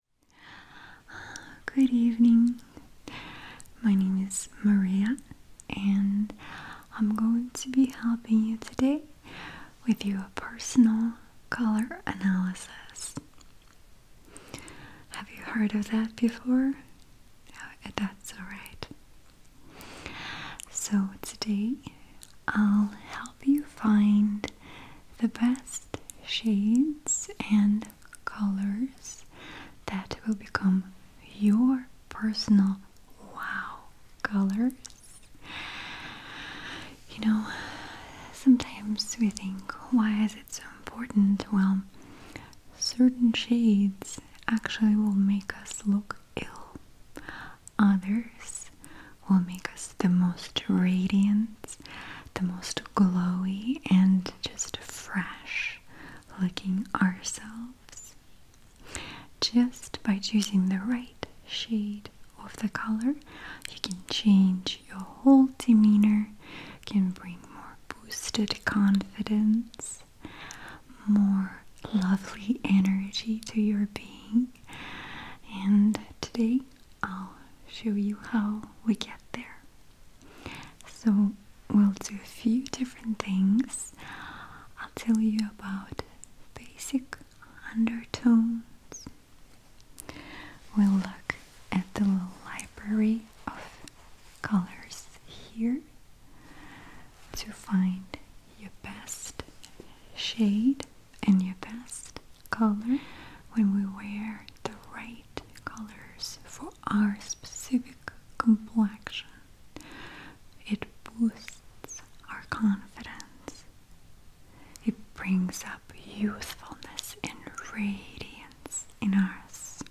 Good evening. My name is Maria, and I'm going to be helping you today with your personal color analysis. Have you heard of that before? Oh, that's alright. So, today I'll help you find the best shades and colors that will become your personal wow colors. You know, sometimes we think, why is it so important? Well, certain shades actually will make us look ill, others will make us the most radiant the most glowy and just fresh looking ourselves just by choosing the right shade of the color you can change your whole demeanor can bring more boosted confidence more lovely energy to your being and today I'll show you how we get there. So, we'll do a few different things. I'll tell you about basic undertones. We'll look at the library of colors here to find your best shade and your best color when we wear the right colors for our specific complexion. It boosts our confidence. It brings up youthfulness and radiance in us.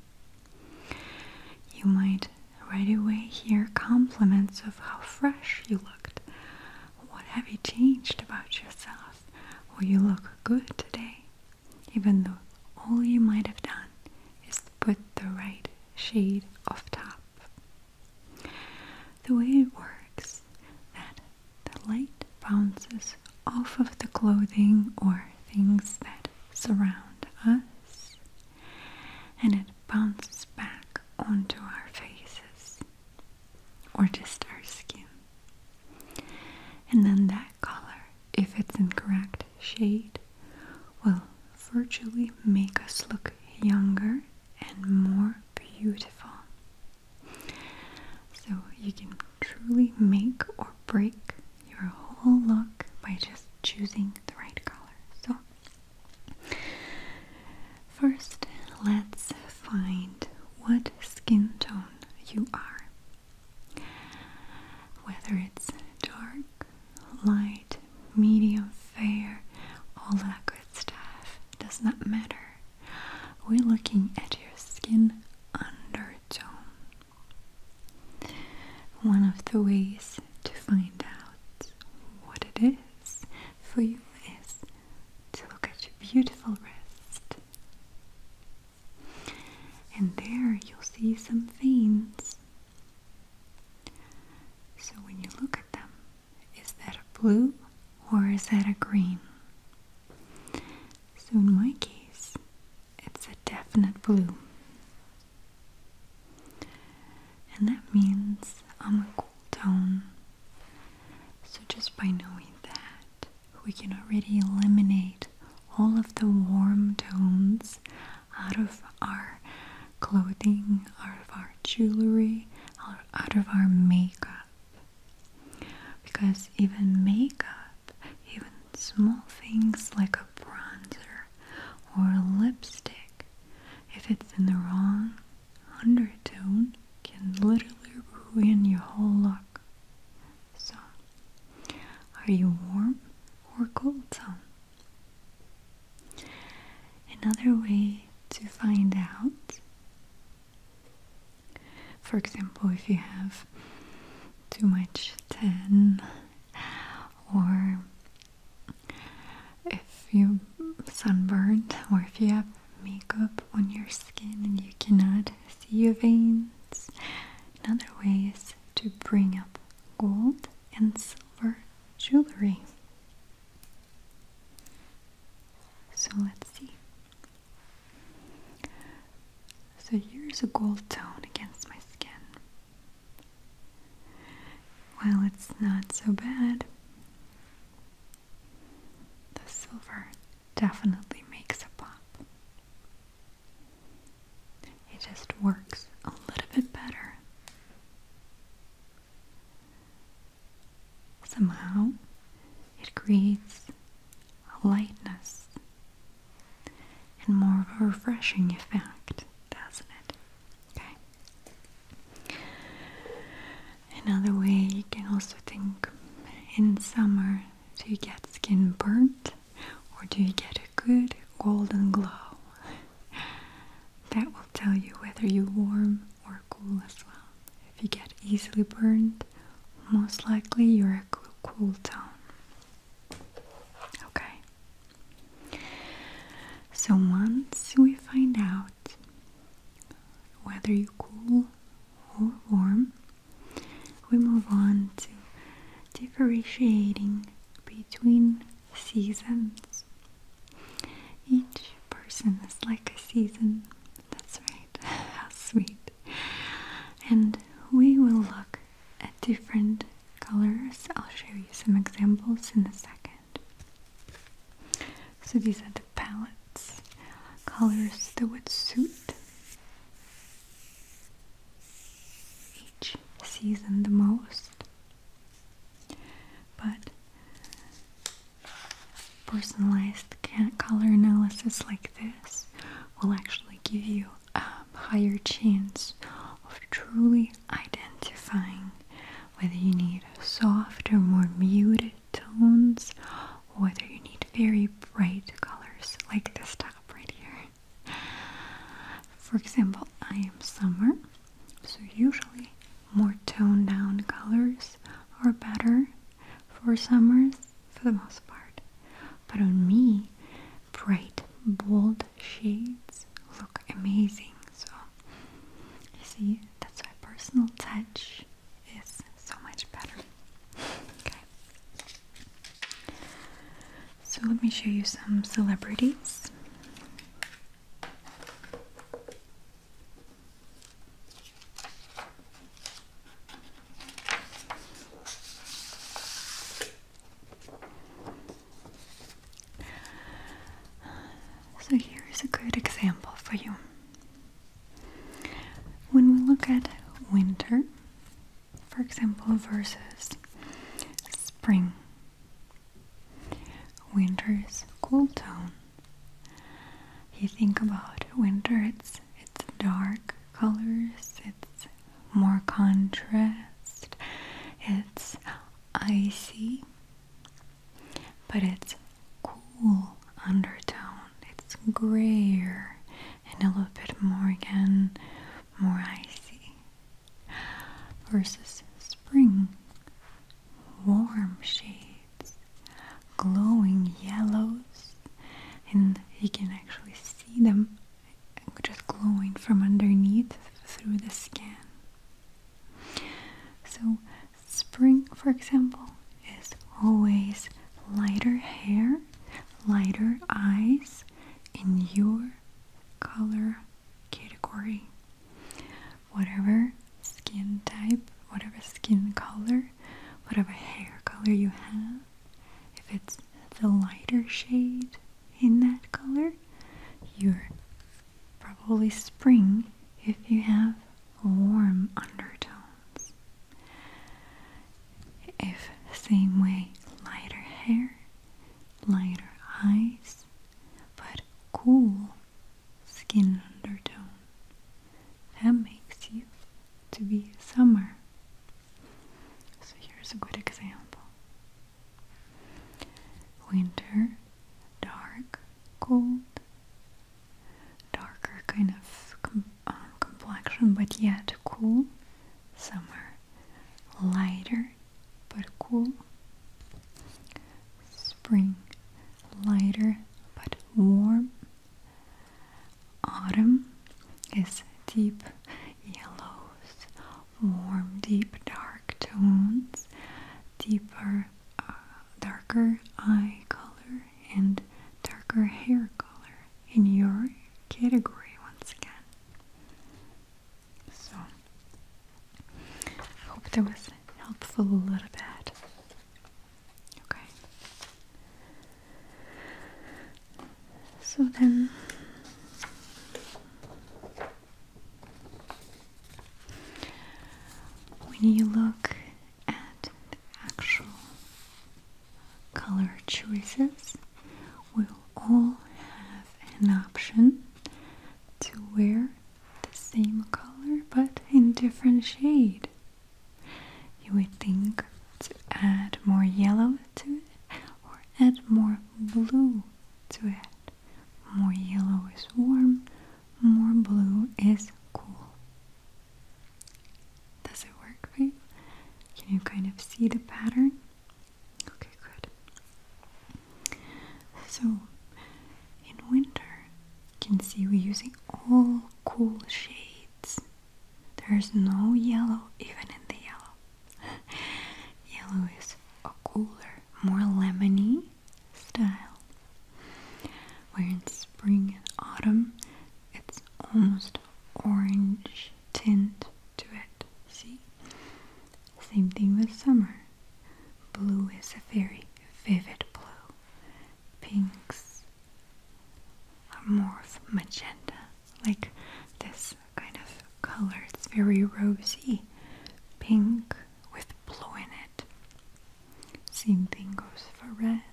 You might right away hear compliments of how fresh you looked. What have you changed about yourself? yourself, you look good today, even though all you might have done is put the right shade of top. The way it works that the light bounces off of the clothing or things that surround us and it bounces back onto our faces or just our skin. And then that color, if it's in correct shade, will virtually make us look younger and more beautiful. So you can truly make or break your whole look by just choosing the right color. So first let's find what skin tone you are. Whether it's dark, light, medium, fair, all that good stuff does not matter. We're looking at your skin undertone. One of the ways to find out what it is for you is to look at your beautiful wrist. And there you'll see some veins. So when you look at them, is that a blue or is that a green? So in my case, it's a definite blue. And that means I'm a cool tone so, just by knowing that, we can already eliminate all of the warm tones out of our clothing, out of our jewelry, out of our makeup. Because even makeup, even small things like a bronzer or lipstick, if it's in the wrong undertone, can literally ruin your whole look. So, are you warm or cold tongue? Another way to find out, for example, if you have too much tan or if you sunburned or if you have makeup on your skin and you cannot see your veins. Another way is to bring up gold and silver jewelry. So let's see. So here's a gold tone against my skin. Well, it's not so bad, the silver definitely makes a pop. It just works a little bit better. Somehow, it creates a lightness and more of a refreshing effect, doesn't it? Okay. Another way you can also think in summer do you get skin burnt or do you get a good golden glow? that will tell you whether you're warm or cool as well. If you get easily burnt, most likely you're a cool, cool tone. Okay. So once we find out whether you're cool or warm, we move on to differentiating between seasons. Each person is like a season. That's right. How sweet. And we will look at different colors. I'll show you some examples in a second. So these are palettes, colors that would suit each season the most. But personalized color analysis like this will actually give you a higher chance of truly identifying whether you need a soft or more muted tones, whether you need very bright colors like this top right here. For example, I am summer, so usually more toned down colors are better for summers for the most part. But on me, bright, bold shades look amazing. So, you see, that's my personal touch is so much better. okay. So let me show you some celebrities. So, here is a good example for you. When we look at winter, for example, versus spring, winter is cool tone. You think about winter, it's it's dark colors, it's more contrast, it's icy, but it's cool undertone. It's grayer and a little bit more again, more icy. Versus spring, warm shades, glowing yellows, and you can actually see them just glowing from underneath through the skin. So Spring, for example, is always lighter hair, lighter eyes in your color category. Whatever skin type, whatever skin color, whatever hair color you have, if it's the lighter shade in that color, you're probably spring if you have warm undertone. If same way, lighter hair, lighter eyes, but cool skin undertone. That makes you to be summer. So here's a good example. Winter, dark, cold, darker kind of um, complexion, but yet cool. Summer, lighter but cool. Spring, lighter but warm. Autumn is deep yellows, warm, deep, dark tones, deeper uh, darker eye color and darker hair color in your category once again. So, I hope that was helpful a little bit. Okay. So then. When you look at actual color choices, we'll all have an option to wear the same color but in different shade. You would think to add more yellow to it or add more blue to it. More yellow is warm, more blue is cool. Does it work for Can you kind of see the pattern? Okay, good. So, in winter, you can see we're using all cool shades. There's no yellow, even in the yellow. yellow is a cooler, more lemony style. Where in spring and autumn it's almost orange tint to it. See? Same thing with summer. Blue is a very vivid blue. Pinks are more of magenta, like this kind of color. It's very rosy pink with blue in it. Same thing goes for red.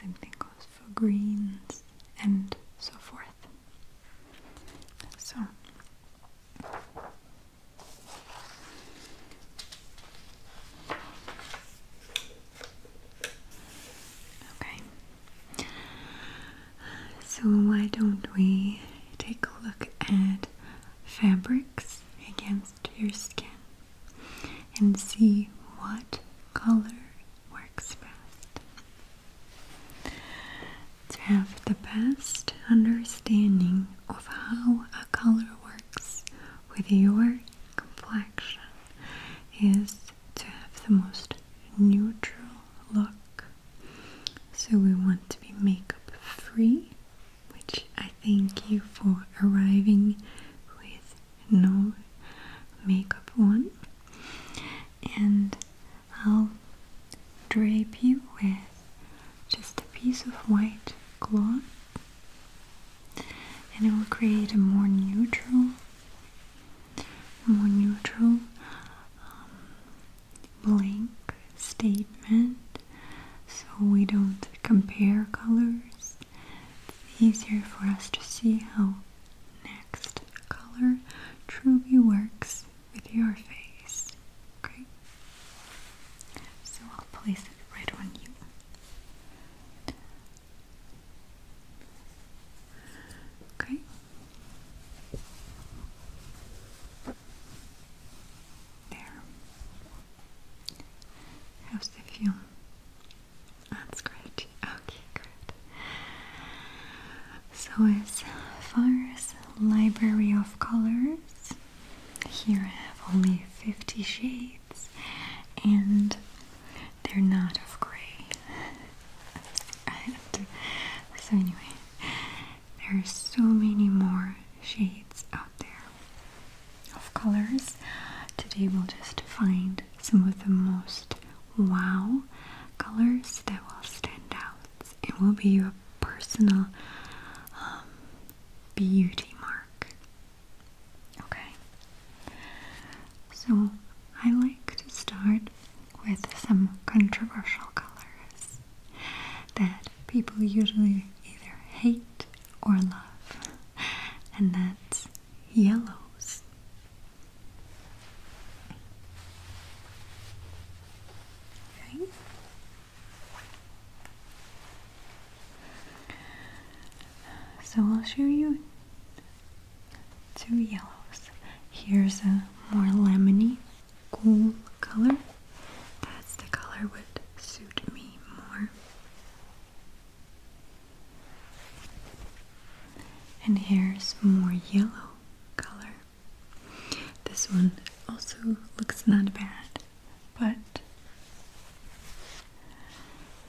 Same thing goes for greens and so forth. So Okay. So why don't we take a look at fabrics against your skin? and see what color works best. To have the best understanding of how a color works with your complexion is to have the most neutral look. So we want to be makeup free, which I thank you for arriving with no makeup on and I'll drape you with just a piece of white cloth and it will create a more neutral more neutral um, blank statement so we don't compare colors it's easier for us to see how next color truly works with your face. Okay? So I'll place it right on you. Okay. There. How's the feel? That's great. Okay, great. So as far as library of colors, here I have only 50 shades and they're not of grey. so anyway, there are so many more shades out there of colors. Today we'll just find some of the most wow colors that will stand out It will be your personal um, beauty mark. Okay, so I like to start with some controversial colors that people usually either hate or love, and that's yellows. Okay. So I'll show you two yellows. Here's a more lemony, cool color. That's the color would suit me more. And here's more yellow color. This one also looks not bad, but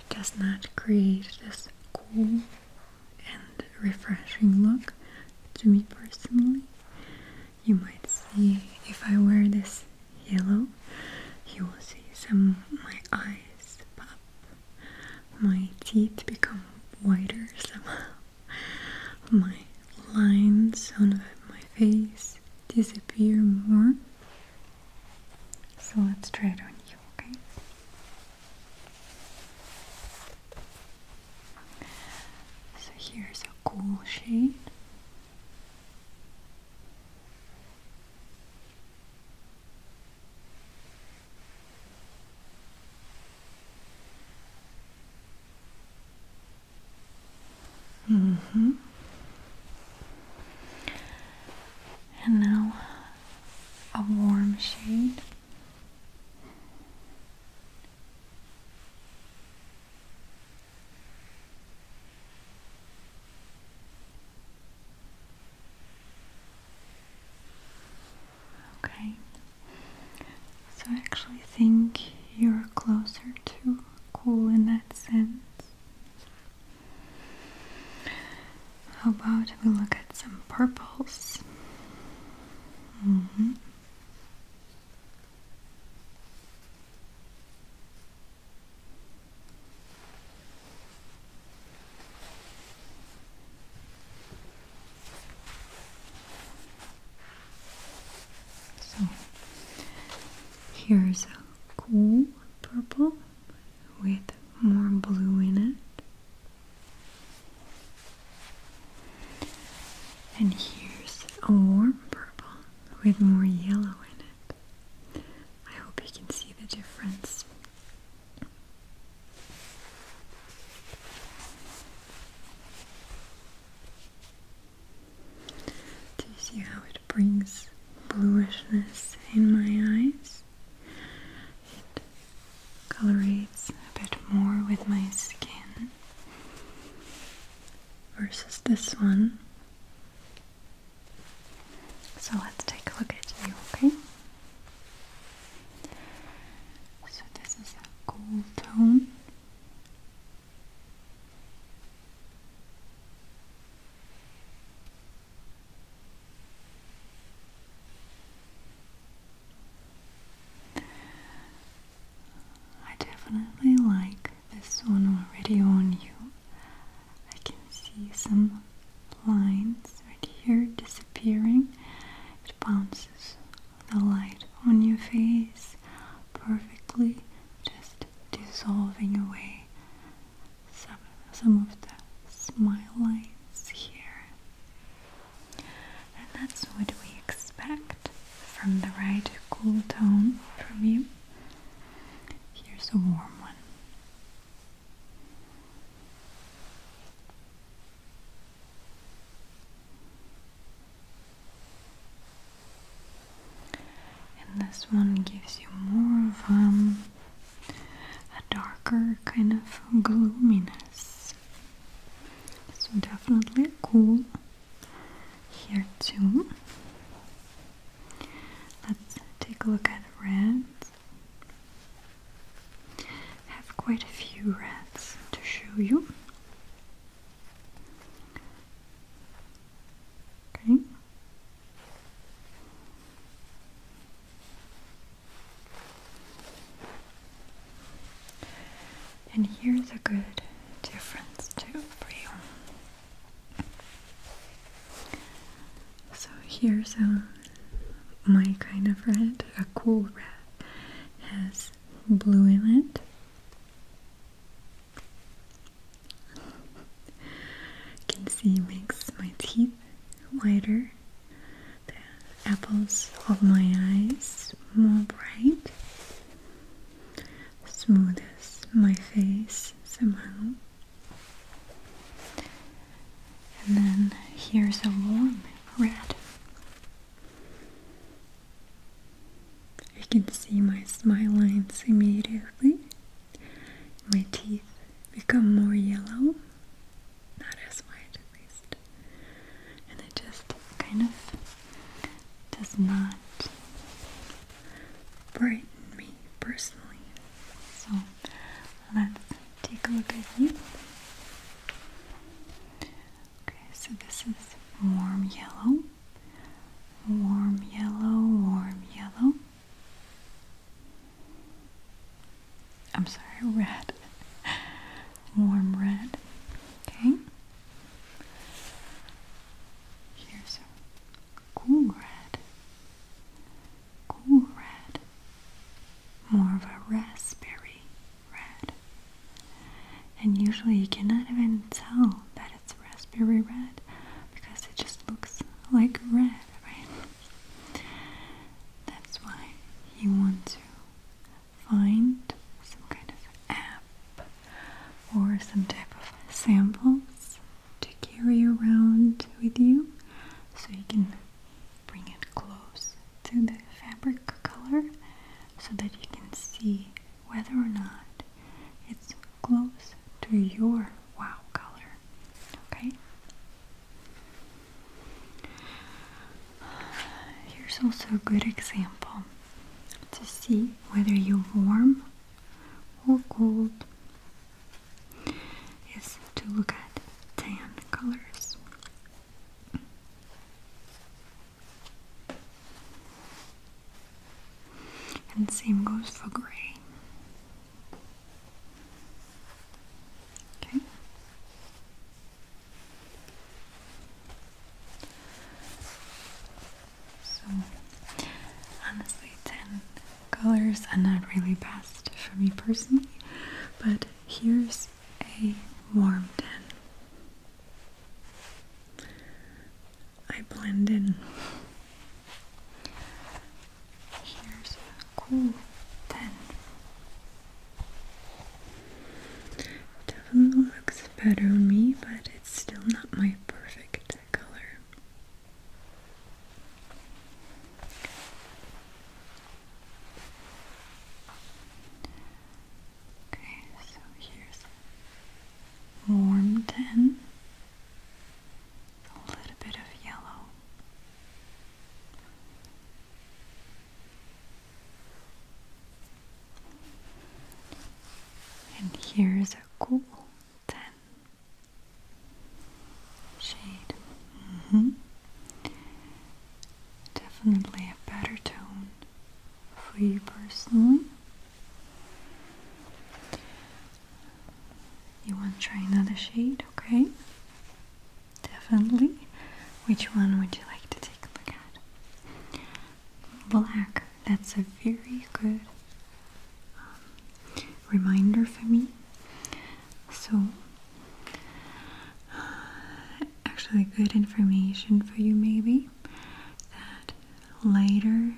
does not create this cool and refreshing look to me personally. You might see if I wear this yellow, you will see some my eyes pop, my teeth become whiter somehow, my lines on my face disappear more. So let's try it on you, okay? So here's a cool shade. Mm hmm And now a warm shade. Okay, so I actually think you're closer to cool in that sense. How about we look at some purples? Mm-hmm. So here's a cool purple with more blue in it. And here's a warm purple with more yellow in it. I hope you can see the difference. Do you see how it brings bluishness in my eyes? It colorates a bit more with my skin versus this one so let's take a look at you, okay? So this is a gold tone. I definitely like this one already on you. I can see some lines right here disappearing. It bounces the light on your face perfectly, just dissolving away some, some of the smile lines here. And that's what we expect from the right cool tone from you. Here's a warm one. And this one gives you more of um, a darker kind of gloominess. So definitely cool here too. Let's take a look at rats. I have quite a few rats to show you. Okay. And here's a good difference too for you. So here's um, my kind of red, a cool red. Has blue in it. Can see makes my teeth whiter, the apples of my eyes more bright smoothes my face somehow. And then here's a warm red. You can see my smile lines immediately. My teeth become more yellow, not as white at least. And it just kind of does not brighten me personally. So let's take a look at you. Okay, so this is warm yellow, warm yellow, warm yellow. I'm sorry, red, warm red. Okay, here's cool red, cool red, more of a raspberry red. And usually you cannot even tell that it's raspberry red because it just looks like red, right? That's why you want to find some kind of app or some type of samples to carry around with you so you can bring it close to the fabric color so that you can see whether or not it's close to your wow color. Okay? Here's also a good example to see whether you warm or gold is to look at tan colors. And same goes for gray. Okay. So honestly, 10 colors are not really best for me personally, but here's a warm 10. I blend in. Here's a cool 10. Definitely looks better on me, but it's still not my perfect color. Okay, so here's warm tan, a little bit of yellow. And here's a cool tan shade. Mm -hmm. Definitely a better tone for you personally. You want to try another shade, okay? Definitely. Which one would you like to take a look at? Black. That's a very good um, reminder for me. So, uh, actually, good information for you, maybe that lighter,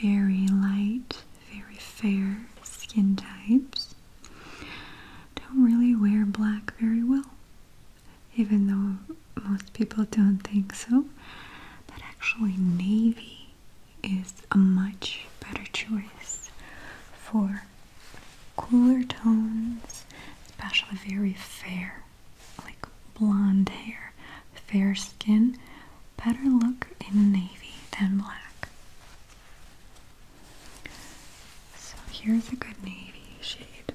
very light, very fair skin types don't really wear black very well, even though most people don't think so. But actually, navy is a much better choice for cooler tones, especially very fair, like blonde hair, fair skin. Better look in navy than black. So here's a good navy shade.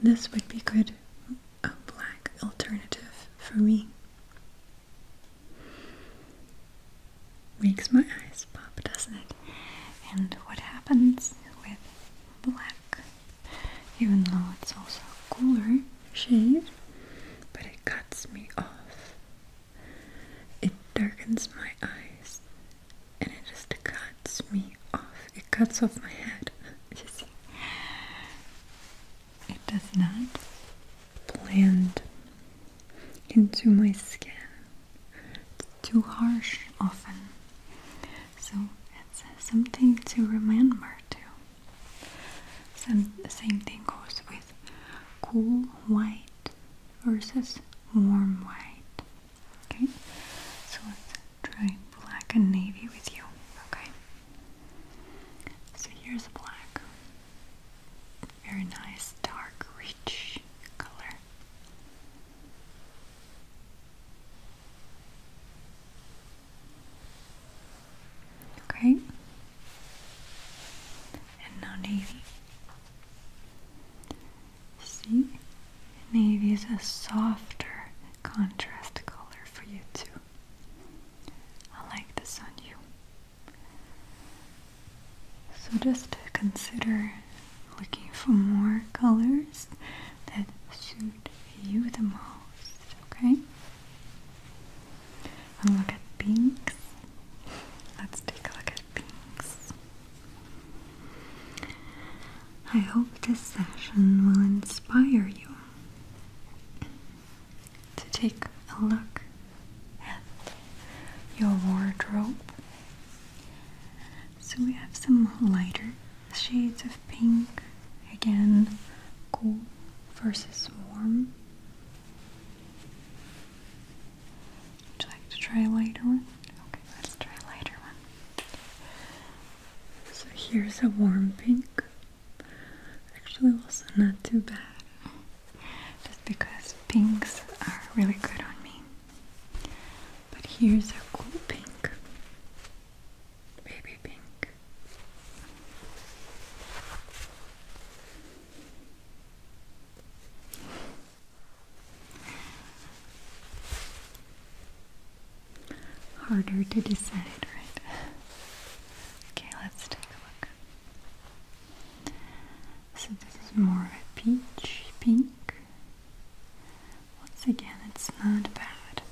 This would be good a black alternative for me. Makes my eyes pop, doesn't it? And what happens with black, even though it's also a cooler shade, but it cuts me off. It darkens my eyes and it just cuts me off. It cuts off my head. it does not blend into my skin. It's too harsh often. So it's something to remember too. Some, same thing goes with cool white versus warm white. Okay, so let's try black and navy with you. Okay. So here's a black. Very nice, dark, rich color. Okay. And now navy. See? Navy is a softer contrast color for you too. I like this on you. So just consider looking for more colors that suit you the most, okay? And look at pinks. Let's take a look at pinks. I hope this session will inspire you to take a look at your wardrobe. So we have some lighter shades of pink, again, cool versus warm. Would you like to try a lighter one? Okay, let's try a lighter one. So here's a warm pink. Actually, also not too bad. Just because pinks are really good on me. But here's a cool pink. Baby pink harder to decide, right? Okay, let's take a look. So this is more of a peach pink. Once again, it's not bad.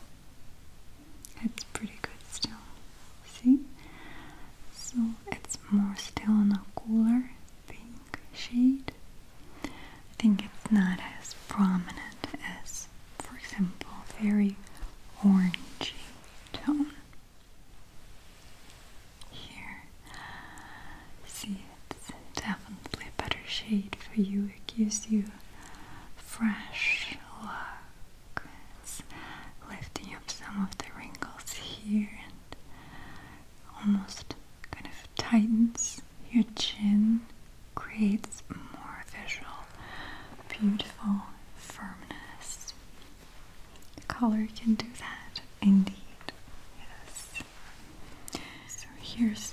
It's pretty good still. See? So it's more still in a cooler pink shade. I think it's not as prominent as for example, very orangey tone. Here, see it's definitely a better shade for you. It gives you fresh look. lifting up some of the wrinkles here and almost kind of tightens your chin creates more visual, beautiful firmness. Color can do that, indeed. Yes. So here's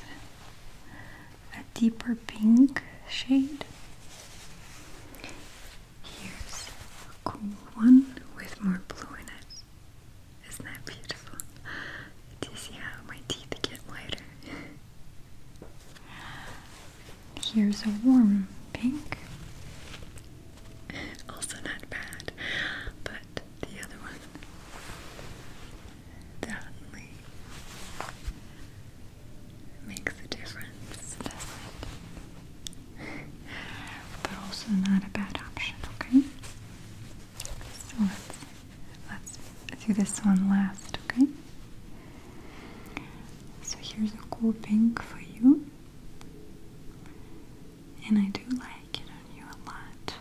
a deeper pink shade. Here's a cool one with more blue in it. Isn't that beautiful? Do you see how my teeth get lighter? Here's a warm pink. Also not bad, but the other one definitely makes a difference, but also not a bad option, okay? So let's let's do this one last, okay? So here's a cool pink for you. And I do like it on you a lot.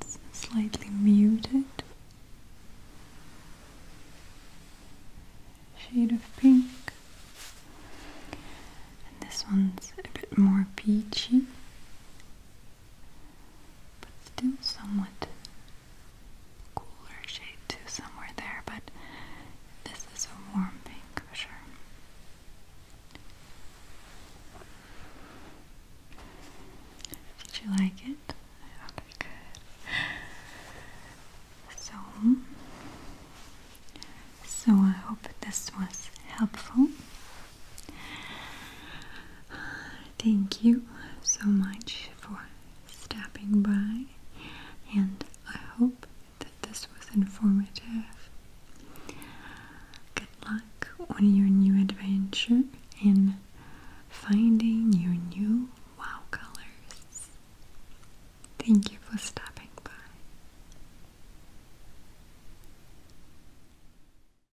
It's slightly muted shade of pink. And this one's a bit more peachy but still somewhat cooler shade too somewhere there, but this is a warm pink for sure. Did you like it? I thought good. So, so I hope this was helpful. Thank you so much for stopping by, and I hope that this was informative. Good luck on your new adventure in finding your new wow colors. Thank you for stopping by.